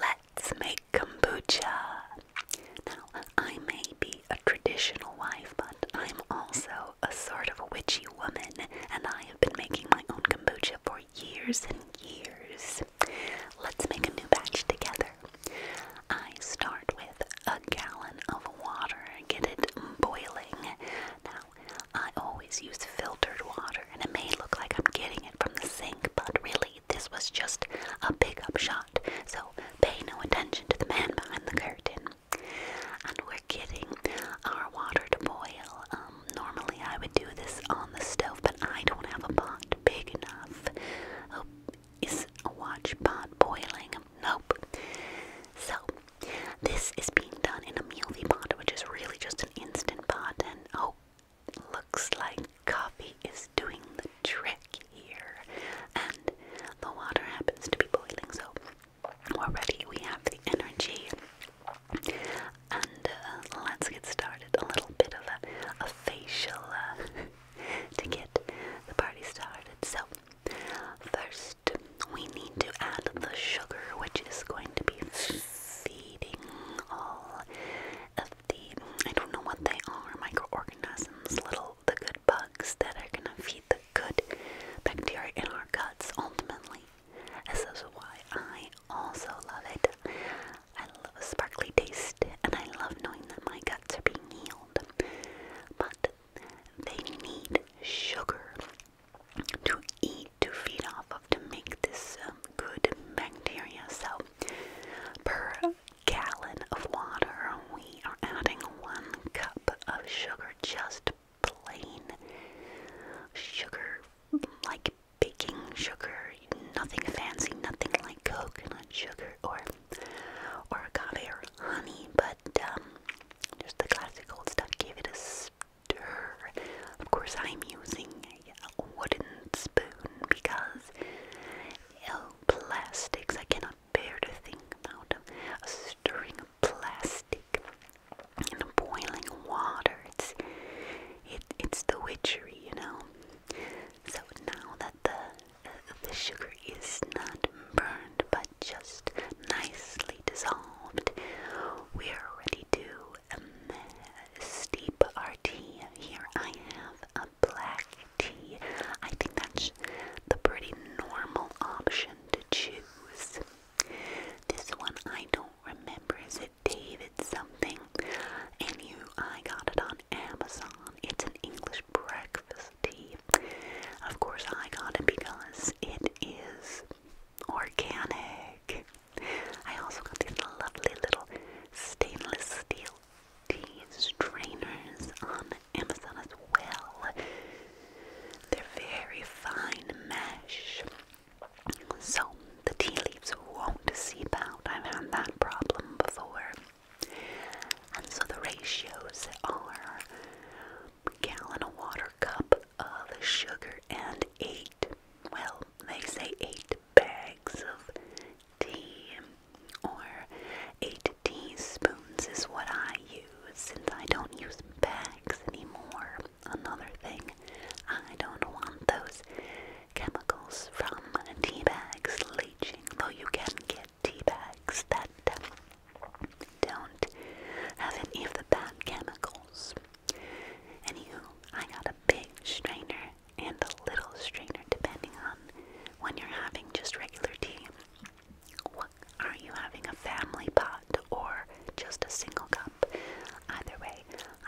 Let's make kombucha. Now, I may be a traditional wife, but I'm also a sort of a witchy woman, and I have been making my own kombucha for years and years. Let's make a new batch together. I start with a gallon of water, get it boiling. Now, I always use filtered water, and it may look like I'm getting it from the sink, but really this was just a pickup shot, so pay no attention to the man behind the curtain. And we're getting our water to boil. Um, normally, I would do this on the stove, but I don't have a pot big enough. Oh, is a watch pot boiling? Nope. So, this is being done in a mealy pot, which is really just an instant pot, and oh, Looks like coffee is doing the trick here, and the water happens to be boiling, so already we have the energy. And uh, let's get started. A little bit of a, facial uh, to get the party started. So, first, we need to add the sugar, which is going to be feeding all I don't know what they are, microorganisms, little the good bugs that are gonna feed the good bacteria in our guts ultimately. This is why I also love it. I love a sparkly taste and I love knowing that my guts are being healed. But they need sugar to eat to feed off of to make this uh, good bacteria. So, per gallon of water, we are adding one cup of sugar, just plain sugar, like baking sugar, nothing fancy, nothing like coconut sugar or or agave or honey, but um, just the classic old stuff. Give it a stir. Of course, I'm using wooden spoon because oh, I cannot bear to think about A stirring of plastic in boiling water. It's, it's the witchery, you know. So now that the, uh, the sugar is not burned but just nicely dissolved, we are ready to um, steep our tea. Here I have a black tea. I think that's the pretty normal option to choose. This one I don't remember. Is it David something? And you, I got it on Amazon. It's an English breakfast tea. Of course, I got it because it is organic. I also got these lovely little stainless steel tea strainers on Amazon as well. They're very fine mesh. So the tea leaves won't seep out. I've had that problem before. And so the ratios are gallon of water, cup of sugar, and eight. Well, they say eight, bags of tea, or eight teaspoons is what I use since I don't use bags anymore. Another thing, I don't want those chemicals from tea bags leaching, though you can get tea bags that don't have any of the bad chemicals. Anywho, I got a big strainer and a little strainer depending on when you're having just regular tea. are you having a family pot or just a single cup? Either way,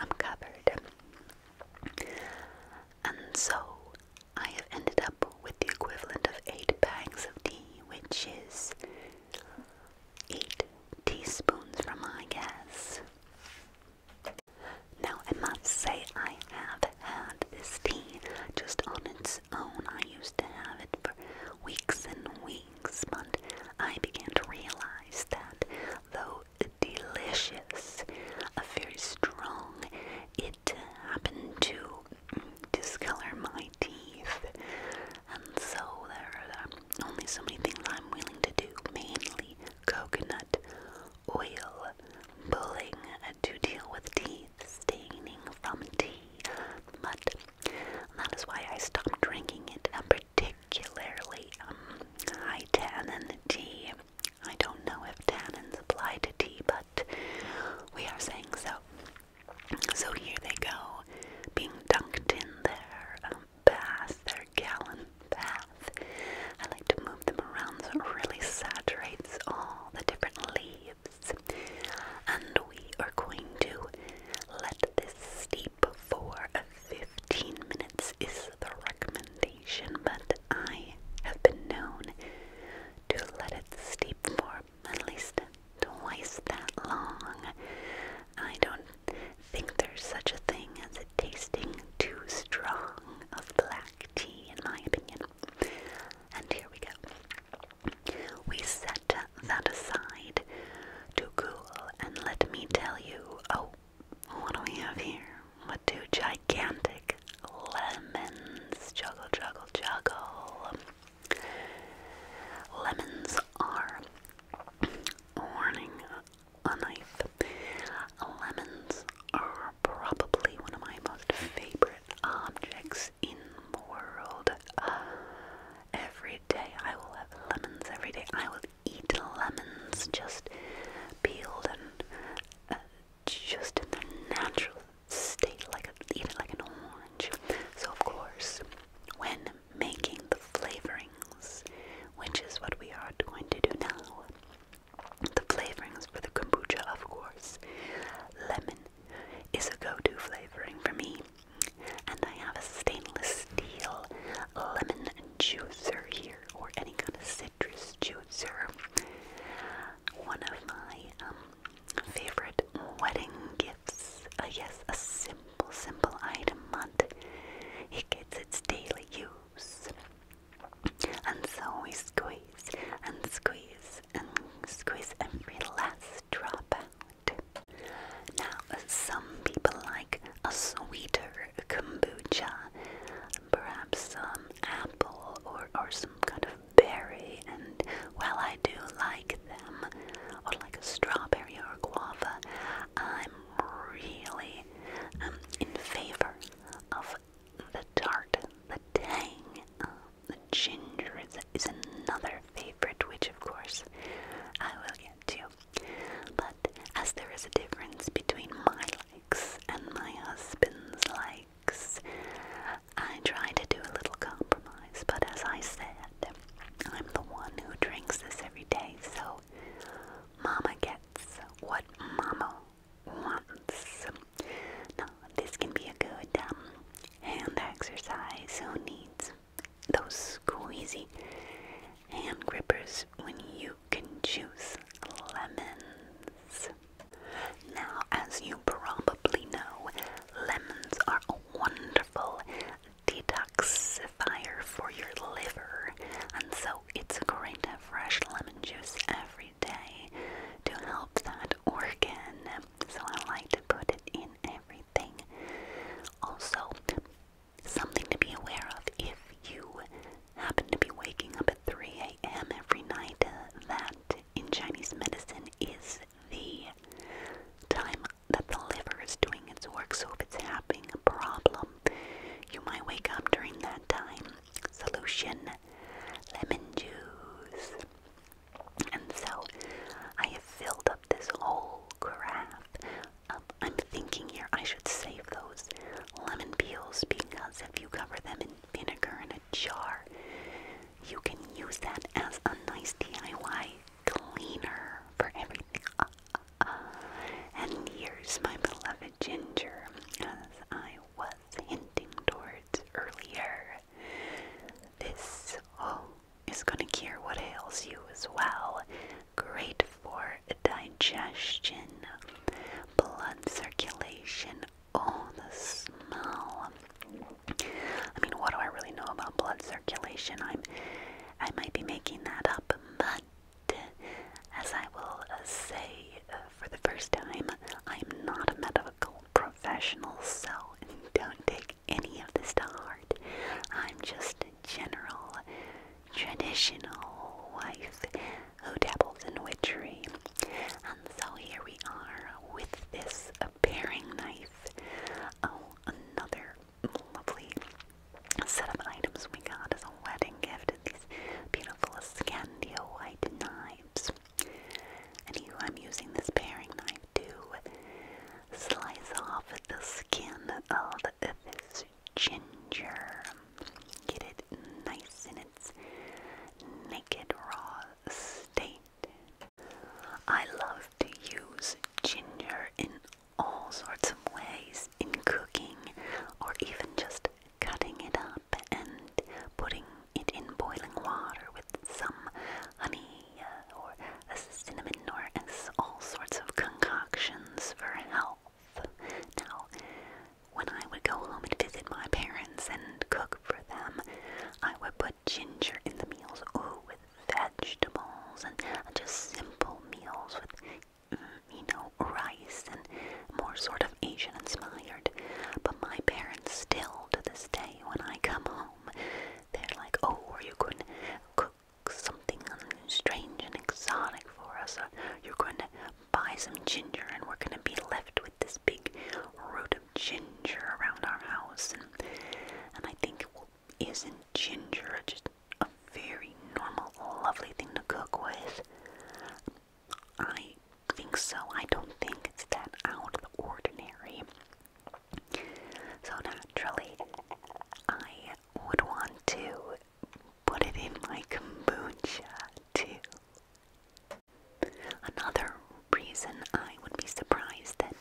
I'm covered. And so I have ended up with the equivalent of eight bags of tea, which is eight teaspoons from my guess. Now, I must say, I have had this tea just on its own. I used to have it for weeks and weeks, but I began to realize that though delicious, a very strong, it happened to discolor my teeth. And so there are only so many things I'm willing to do, mainly coconut oil, pulling to deal with teeth staining from tea mud. that is why I stopped drinking it, particularly um, high tannin tea. I don't know if tannins apply to tea, but we are saying so. So here they go, being dunked in there. Um, bath, their gallon bath. I like to move them around so it really saturates all the different leaves. And we are going to let this steep for 15 minutes is the recommendation, but I have been known to let it steep for at least twice that long. I don't think there's such a thing as it tasting too strong of black tea, in my opinion. And here we go. We set that aside to cool, and let me tell you oh, what do we have here? What do gigantic lemons? Juggle, juggle, juggle. Lemons are warning a knife. Lemons are probably one of my most favorite objects in the world. Uh, every day I will have lemons. Every day I will eat lemons just peeled and uh, just in their natural state, like a, like an orange. So of course, when making the flavoring which is what we are going to do now. The flavorings for the kombucha, of course. Lemon is a go to flavoring for me, and I have a stainless steel lemon juicer here, or any kind of citrus juicer. One of my um, favorite wedding gifts. Uh, yes, a simple, simple item, mud. It gets its daily use and so we squeeze and squeeze and squeeze every last drop out. Now, some people like a sweeter kombucha, perhaps some apple or, or some kind of berry, and while I do like them, or like a strawberry or guava, I'm really I'm um, in favor of the tart, the tang, um, the ginger is, is another favorite, which of course I will get to. But as there is a difference between my likes and my husband's likes, I try to do a little compromise. But as I said, I'm the one who drinks this every day, so Mama gets what Mama wants. Now, this can be a good um, hand exercise. Who needs those squeezy hand grippers when you can choose lemons? Now, as you probably know, lemons are a wonderful detox detoxifier for your liver, and so it's great to have fresh lemon juice every day to help that organ. So I like to put it in everything. Also, something to be aware of if you happen to be waking up at 3 a.m. every night, that in Chinese medicine is the time that the liver is doing its work. So if it's having a problem you might wake up during that time. Solution lemon juice. And so I have filled up this whole carafe. I'm thinking here I should save those lemon peels because if you cover them in vinegar in a jar, you can use that as a nice DIY cleaner for everything. And here's my beloved Ginger, as I was hinting towards earlier. This oh, is going to cure what ails you as well. Great for digestion, blood circulation. Oh, the smell. I mean, what do I really know about blood circulation? I'm, I might be making that up, but as I will uh, say uh, for the first time, I'm not a medical professional, so don't take any of this to heart. I'm just a general, traditional wife who dabbles in witchery. And so here we are with this uh, knife. Oh, another lovely a set of items we got as a wedding gift. These beautiful Scandinavian knives. And you, I'm using this paring knife to slice off the skin of this ginger. Get it nice in its naked raw state. I love to use ginger in all sorts of ways in cooking or even just cutting it up and putting it in boiling water with some honey uh, or a cinnamon or all sorts of concoctions for health. Now, when I would go home and visit my parents and cook for them, I would put ginger in the meals, ooh, with vegetables and just simple meals with um, you know, rice and more sort of Asian inspired. But my parents still, to this day, when I come home, they're like, oh, are you to cook something strange and exotic for us. Or you're going to buy some ginger and we're going to be left with this big root of ginger around our house. And, and I think, well, isn't ginger just a very normal, lovely thing to cook with. I think so. I don't think it's that out of the ordinary. So naturally, I would want to put it in my kombucha too. Another reason I would be surprised that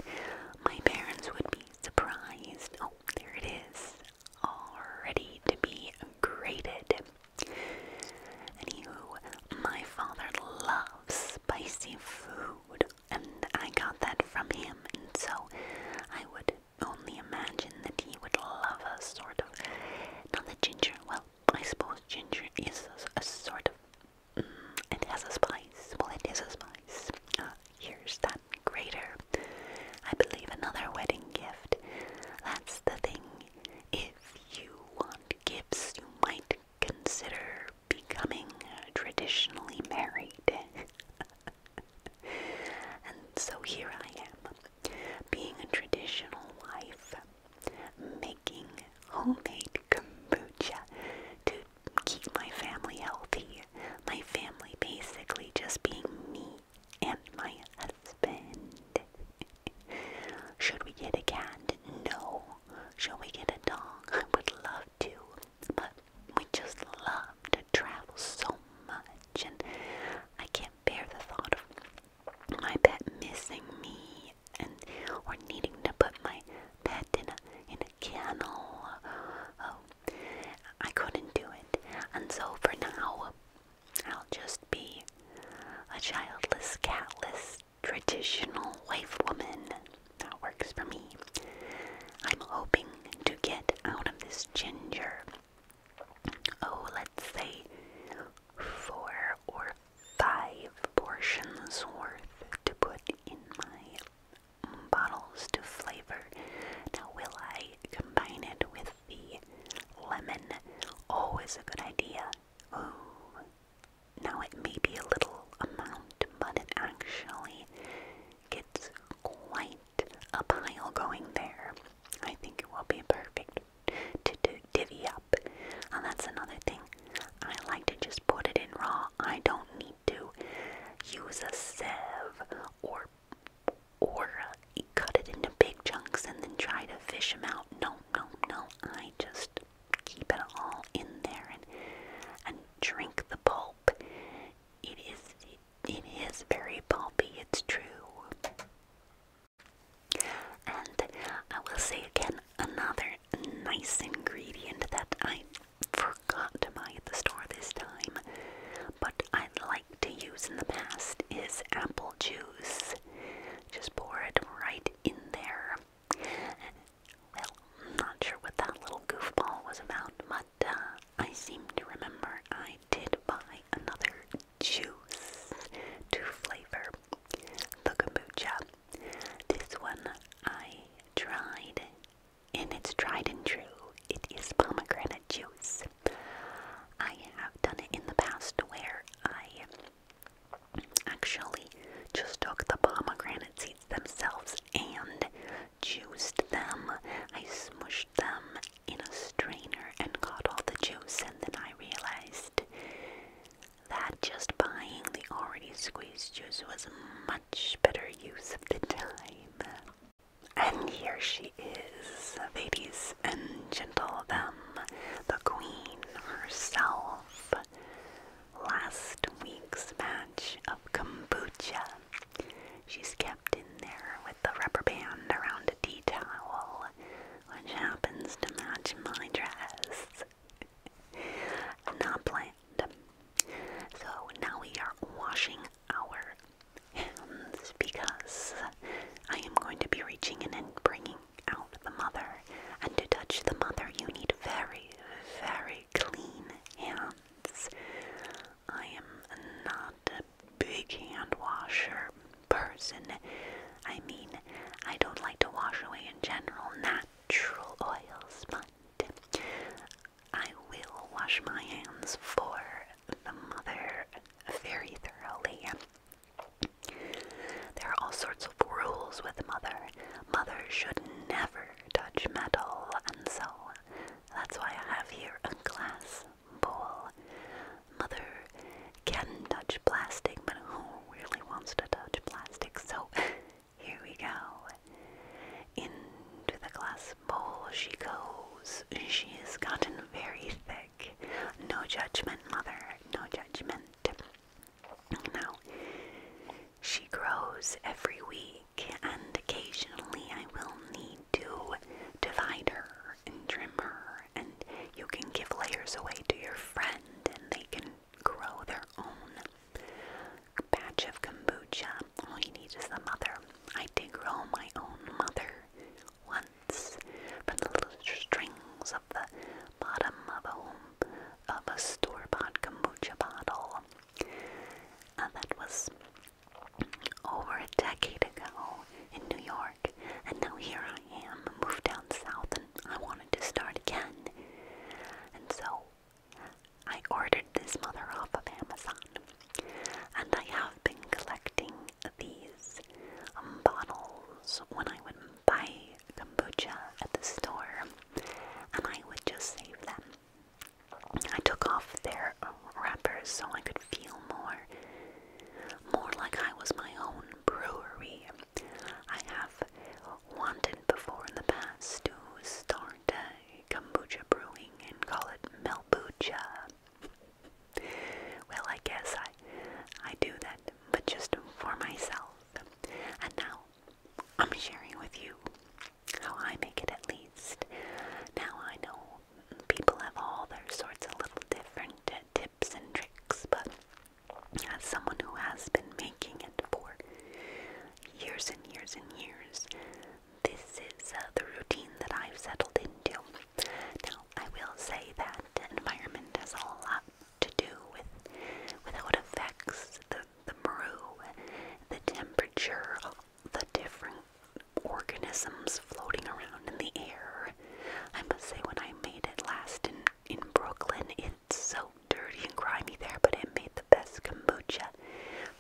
my parents would be surprised. Oh, there it is all ready to be grated. Anywho, my father loves spicy food, and I got that from him, and so I would only imagine that he would love a sort of. Not the ginger, well, I suppose ginger is a, sort of. Mm, it has a spice. Well, it is a spice. Uh, here's that greater. I believe another wedding gift. That's the thing. If you want gifts, you might consider becoming traditionally married. and so here I am, being a traditional wife, making homemade kombucha to keep my family healthy. My family basically just being me and my husband. Should we get a cat? No. Should we get a dog? I would love to, but we just love to travel so much, and I can't bear the thought of my pet missing me and or needing to put my pet in a kennel. Oh, I couldn't do it, and so for now, I'll just be a childless, catless, traditional wife woman. That works for me. I'm hoping to get out of this ginger. Oh, let's say four or five portions worth to put in my bottles to flavor. Now, will I combine it with the lemon. Always a good idea. Ooh. Now it may be a little amount, but it actually gets quite a pile going there. I think it will be perfect to divvy up. And that's another thing. I like to just put it in raw. I don't need to use a sieve or or uh, cut it into big chunks and then try to fish them out. No, no, no. I just keep it all in there and and drink the pulp. is it, it is very pulpy. It's true. And I will say again another nice ingredient that I forgot to buy at the store this time, but I like to use in the past is apple juice. Just pour it right in there. Well, not sure what that little goofball was about, but uh, I seem to remember I did buy another juice to flavor the kombucha. This one I tried, and it's tried and true it is pomegranate juice. I have done it in the past where I actually just took the pomegranate seeds themselves and juiced them. I smushed them in a strainer and got all the juice, and then I realized that just buying the already squeezed juice was a much better use of the time. And here she is, ladies and gentlemen, the queen herself. Last week's batch of kombucha. She's kept in there with the rubber band around a tea towel, which happens to match my dress. Not planned. So now we are washing our hands because I am going to be reaching in and bringing out the mother. And to touch the mother, you need very, very clean hands. I am not a big hand washer person. I mean, I don't like to wash away in general natural oils, but I will wash my hands for the mother very thoroughly. There are all sorts of rules with Mother. Mother should never touch metal, and so that's why I have here a glass bowl. Mother can touch plastic, but who really wants to touch plastic? So here we go. Into the glass bowl she goes. She has gotten very thick. No judgment, mother, no judgment. Now, she grows every week, and occasionally I will need to divide her and trim her, and you can give layers away to your friend, and they can grow their own patch of kombucha. All you need is the mother. I did grow my own mother once from the little strings of the bottom of a store-bought kombucha bottle. Uh, that was over a decade ago in New York, and now here I am, moved down south, and I wanted to start again. And so I ordered this mother off of Amazon. And I have been collecting these um, bottles when I would buy kombucha at the store, and I would just save them. I took off their wrappers so I could feel more, more like I was my own brewery. I have wanted before in the past to start a kombucha brewing and call it Melbucha well, I guess I I do that, but just for myself. And now I'm sharing with you how I make it at least. Now I know people have all their sorts of little different uh, tips and tricks, but as someone who has been making it for years and years and years, this is uh, the routine that I've settled into. Now, I will say that environment has a lot to do with, with how it affects the, the brew, the temperature, the different organisms floating around in the air. I must say, when I made it last in, in Brooklyn, it's so dirty and grimy there, but it made the best kombucha.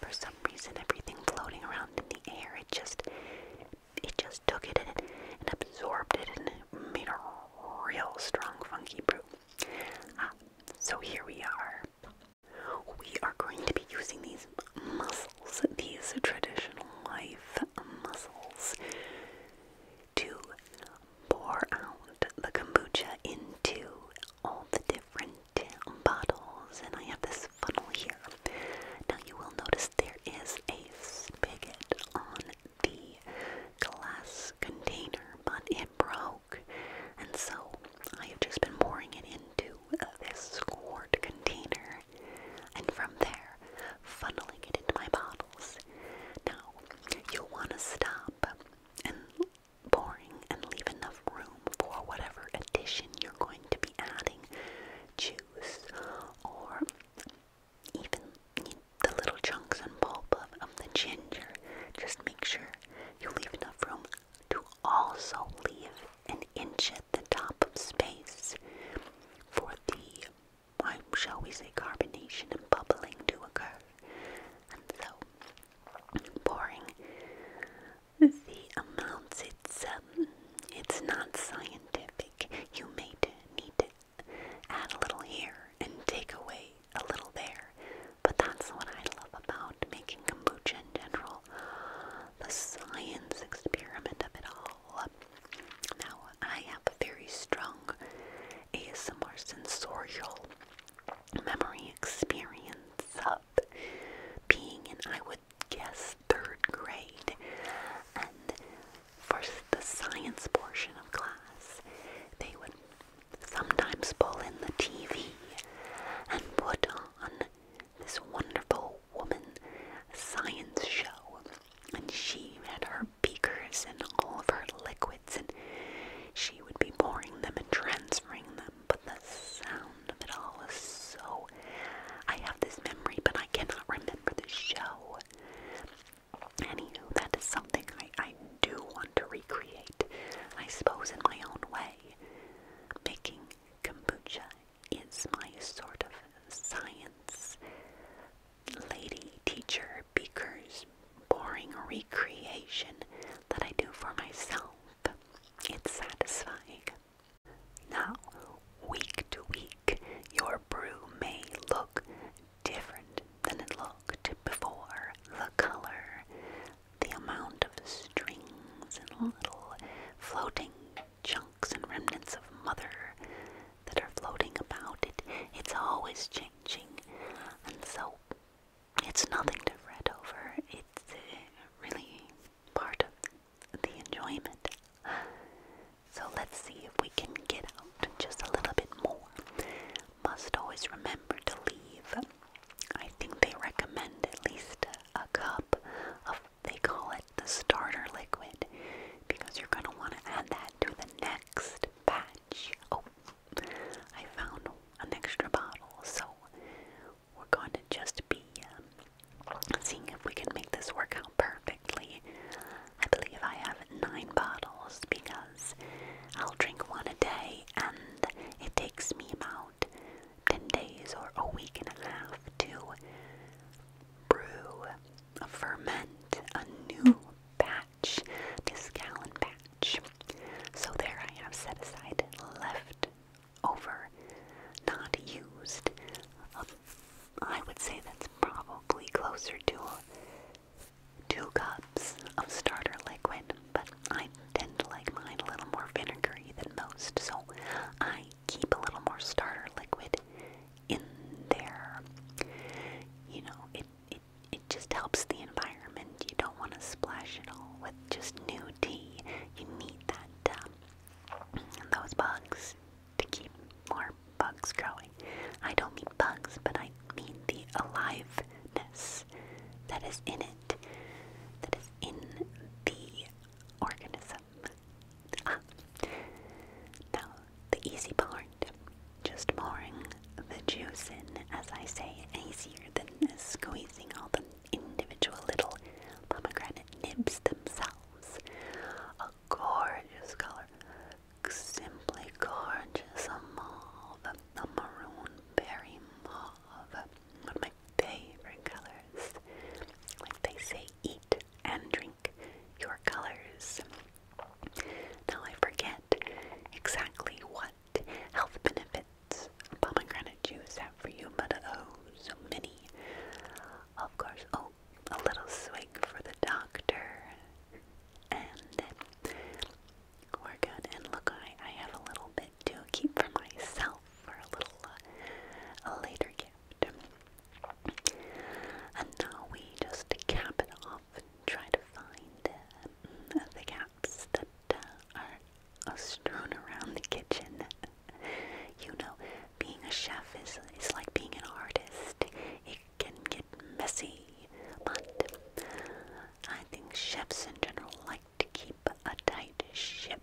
For some reason, everything floating around in the air, it just it just took it and, and absorbed it and made a real strong funky brew. Ah, so here we are. We are going to be using these muscles, these traditional life muscles, to pour out the kombucha into all the different bottles. And I have this funnel here. Now you will notice there is a spigot on the glass container, but it broke. And so I have just been pouring it into this scored container and from there funneling it into my bottles. Now you'll want to stop and pouring and leave enough room for whatever addition you're going to be adding. Choose or even the little chunks and pulp of, the ginger. Just make sure you leave enough room to also leave an inch at the top of space for the, why shall we say, carbonation and bubbling to occur. And so, pouring the amounts it's um, it's not scientific. You may need to add a little here and take away a little there, but that's what I love about making kombucha in general. The science experiment of it all. Now, I have a very strong ASMR sensorial memory experience of being in, I would yes, third grade. And for the science portion of class, they would sometimes pull in the TV and put on this wonderful woman science show. And she had her beakers and all of her liquids, and she would be pouring them and transferring them. But the sound of it all so. I have this memory, but I cannot remember the show. Anywho, that is something I, I do want to recreate, I suppose, in my own way. Making kombucha is my sort of science lady teacher beaker's boring recreation that I do for myself. It's satisfying. Now, week to week, your brew may look different than it looked before. The color, the amount of strings and little floating chunks and remnants of mother that are floating about it, it's always changing. And so, it's nothing to fret over. It's uh, really part of the enjoyment. So let's see if we can get out just a little bit more. Must always remember to leave. I think they recommend at least a, cup of, they call it the starter liquid, because you're going to want to add that to the next batch. Oh, I found an extra bottle, so we're going to just be um, seeing if we can make this work out perfectly. I believe I have nine bottles because I'll drink one a day and it takes me about 10 days or a week and a half to brew, ferment a new batch, this gallon batch. So there I have set aside left over, not used. Um, I would say that's probably closer to two cups of starter liquid, but I tend to like mine a little more vinegary than most, so I keep a little more starter liquid in there. You know, it it it just helps the environment. You don't want to splash it all with just new tea. You need that um, those bugs to keep more bugs growing. I don't mean bugs, but I mean the aliveness that is in it, that is in the organism. Ah. Now, the easy part, just pouring the juice in, as I say, easier than squeezing all the individual little pomegranate nibs themselves. A gorgeous color, simply gorgeous, a mauve, a maroon berry mauve, one of my favorite colors. Like they say, eat and drink your colors. Now I forget exactly what health benefits pomegranate juice have for you, but oh, so many. Of course, oh, a little swig for the doctor. And we're good. And look, I, I have a little bit to keep for myself for a little uh, a later gift. And now we just cap it off and try to find uh, the caps that uh, are uh, strewn around the kitchen you know, being a chef is, is like being an artist. It can get messy, but I think chefs in general like to keep a tight ship.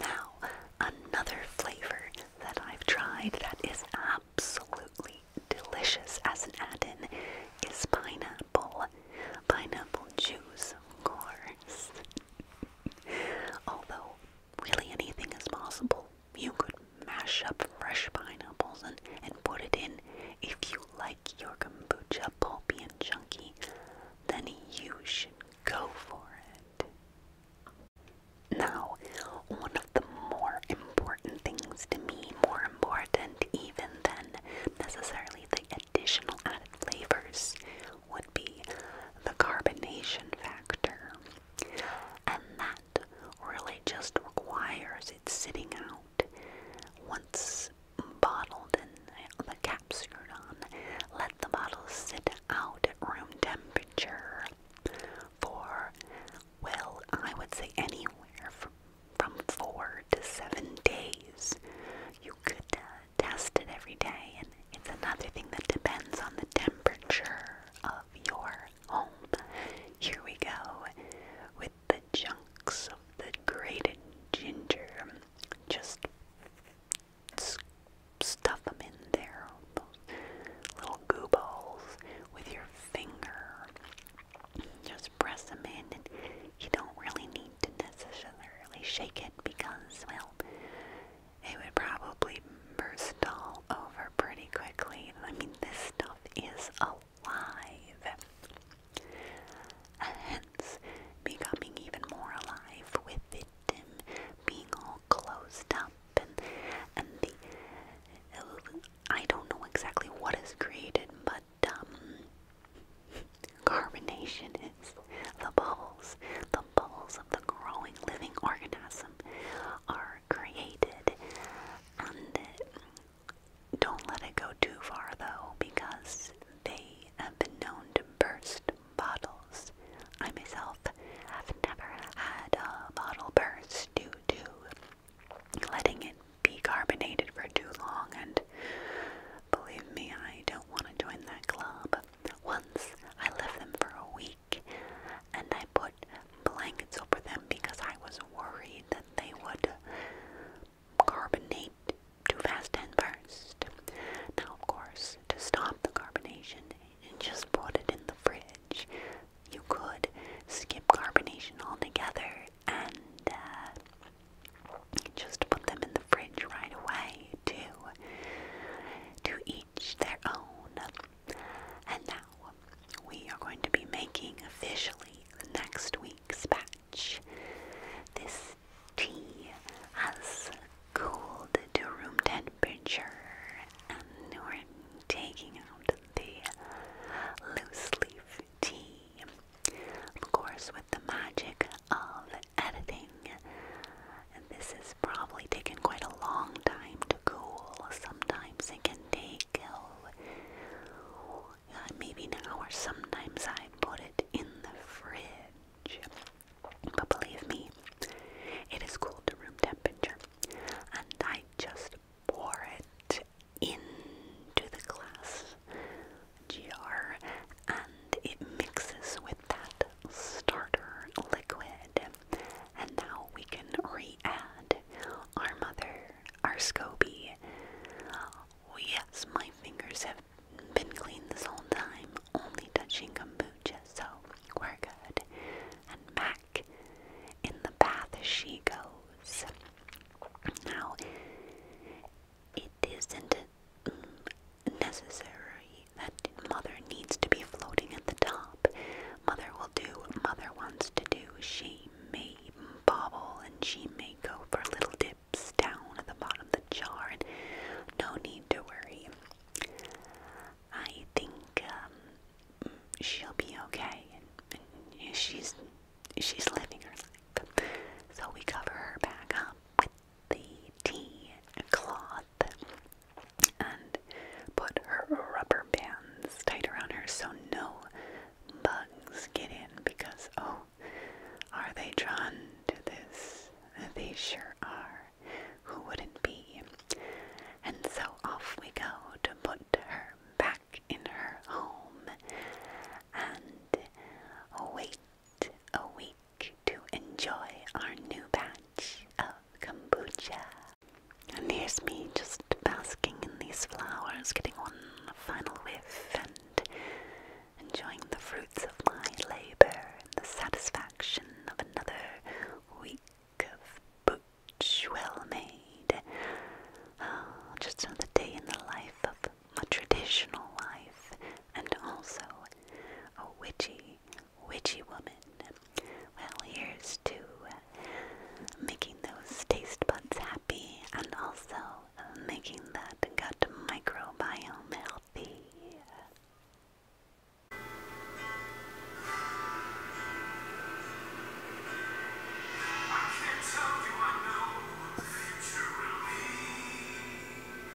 Now, another flavor that I've tried that is absolutely delicious as an add-in is pineapple. Pineapple juice, of course. Although, really anything is possible. You could mash up fresh pineapples and, and put it in. If you like your kombucha pulpy and chunky, then you should go for it. Now, one of the more important things to me, more important even than necessarily the additional added flavors, would be the carbonation factor. And that really just requires it sitting out once bottled and the cap screwed on. Let the bottle sit out at room temperature for, well, I would say anywhere from, from four to seven days. You could uh, Test it every day, and it's another thing that depends on the temperature of your home. Here we go with the chunks of the grated ginger. Just stuff them in there, little goo with your finger. Just press them in, and you don't really need to necessarily shake it because, well, it would probably burst all over pretty quickly. I mean, this stuff is alive. Hence, becoming even more alive with it being all closed up and and the I don't know exactly what is created, but um, Carbonation is the bubbles. The bubbles of the growing living organism are created, don't let it go too far though, because they have been known to burst bottles. I myself have never had a bottle burst due to letting it be carbonated for too long, and believe me, I don't want to join that club. Once I left them for a week and I put blankets over them because I was worried that they would carbonate too fast and burst. Now, of course, to stop the carbonation, and just put it in the fridge. You could skip carbonation altogether and uh, just put them in the fridge right away to each their own. And now we are going to be making officially next week's batch. This tea has cooled to room temperature and we're taking out the loose leaf tea. Of course, with the magic of editing. And this has probably taken quite a long time to cool. Sometimes it can take oh, maybe an hour. Sometimes I put it in the fridge. But believe me, it is cool to room temperature. And I just pour it into the glass jar and it mixes with that starter liquid. And now we can re-add our mother, our SCOBY. Oh, yes, my fingers have been clean this whole time, only touching kombucha, so we're good. And Mac, in the bath she goes. Now, it isn't necessary that mother needs to be floating at the top. Mother will do mother wants to do. She may bobble and she may go for little dips down at the bottom of the jar. no need to worry. I think um, she'll be okay. And, she's she's living her life. So we cover her back up the tea cloth and put her rubber bands tight around her so no bugs get in because, oh, are they drawn to this? They sure are. Who wouldn't be? And so off we go to put her back in her home and wait a week to enjoy our new batch of kombucha. And here's me just basking in these flowers, getting one final whiff and enjoying the fruits of my labor and the satisfaction of another week of booch well made. Oh, just another day in the life of a traditional life and also a witchy, witchy woman. Well, here's to uh, making those taste buds happy and also uh, making that gut microbiome healthy.